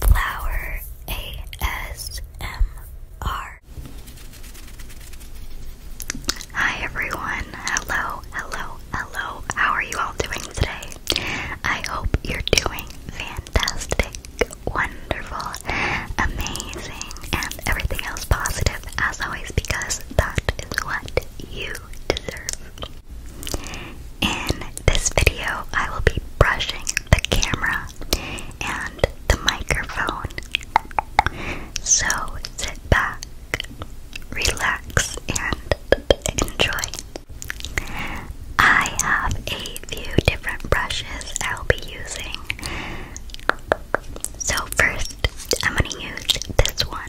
Flower ASMR. Hi everyone. Hello, hello, hello. How are you all doing today? I hope you're doing fantastic, wonderful, amazing, and everything else positive as always because that is what you deserve. In this video, I will be brushing the camera and the microphone. So sit back, relax, and enjoy. I have a few different brushes I will be using. So, first, I'm going to use this one.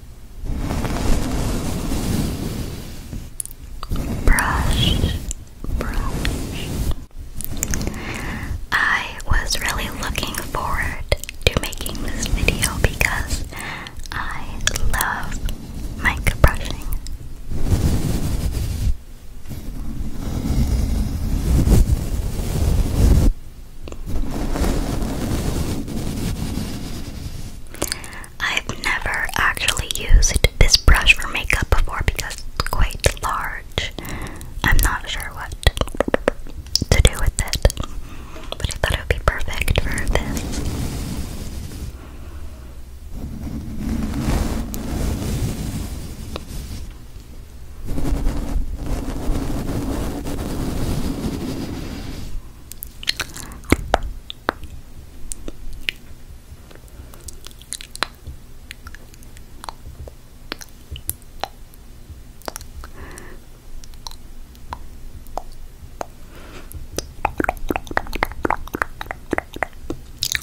Brush, brush. I was really looking forward to making this video because I love mic brushing. I've never actually used this brush for makeup before because it's quite large. I'm not sure what to do with it, but I thought it would be perfect for this.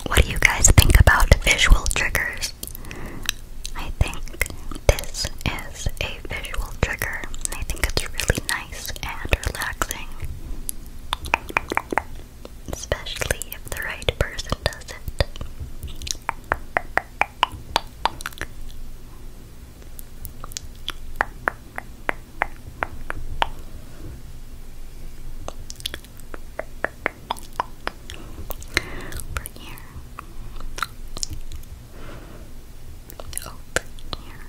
What do you guys think about visual triggers? I think this is a visual trigger. I think it's really nice and relaxing. Especially if the right person does it. Over here. Over here.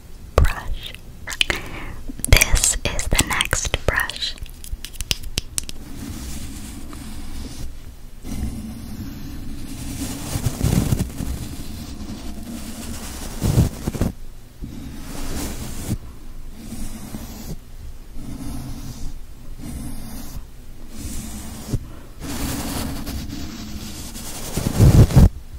brush. This is the next brush.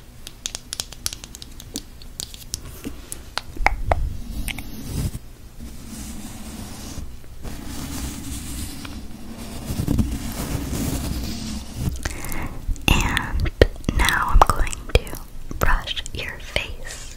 And now I'm going to brush your face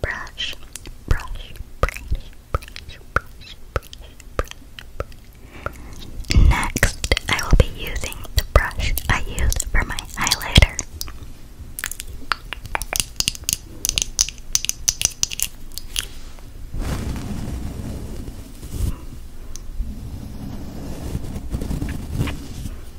Brush, brush, brush, Next, I will be using the brush I use for my highlighter.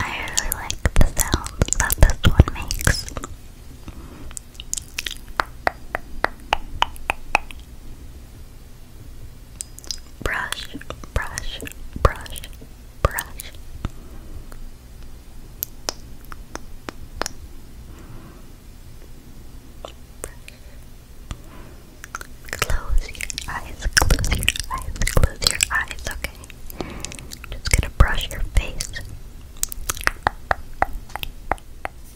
I really like the sound that this one makes brush, brush, brush, brush. Close your eyes, close your eyes, close your eyes, okay? Just gonna brush your face.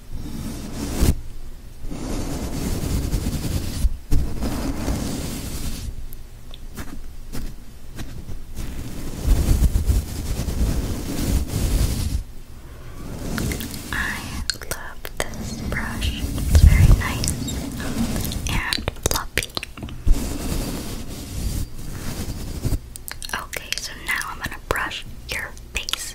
I love this brush. It's very nice and fluffy. Okay, so now I'm gonna brush your face.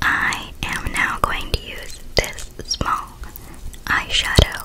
I am now going to use this small eyeshadow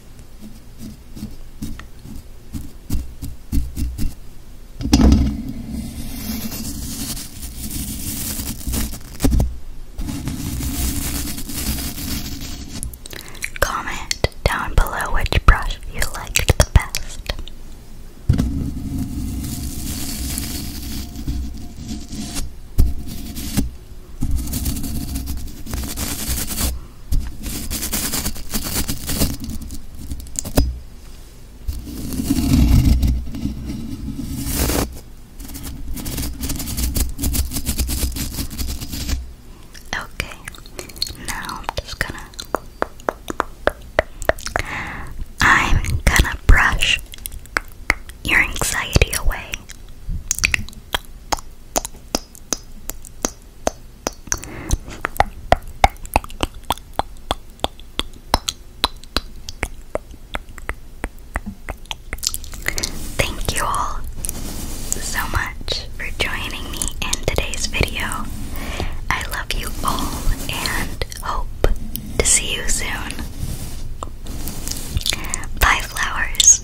Comment down below which brush you liked the best. Okay, now I'm just gonna. I'm gonna brush your anxiety away. Thank you all so much for joining me in today's video. I love you all and hope to see you soon. Bye, flowers.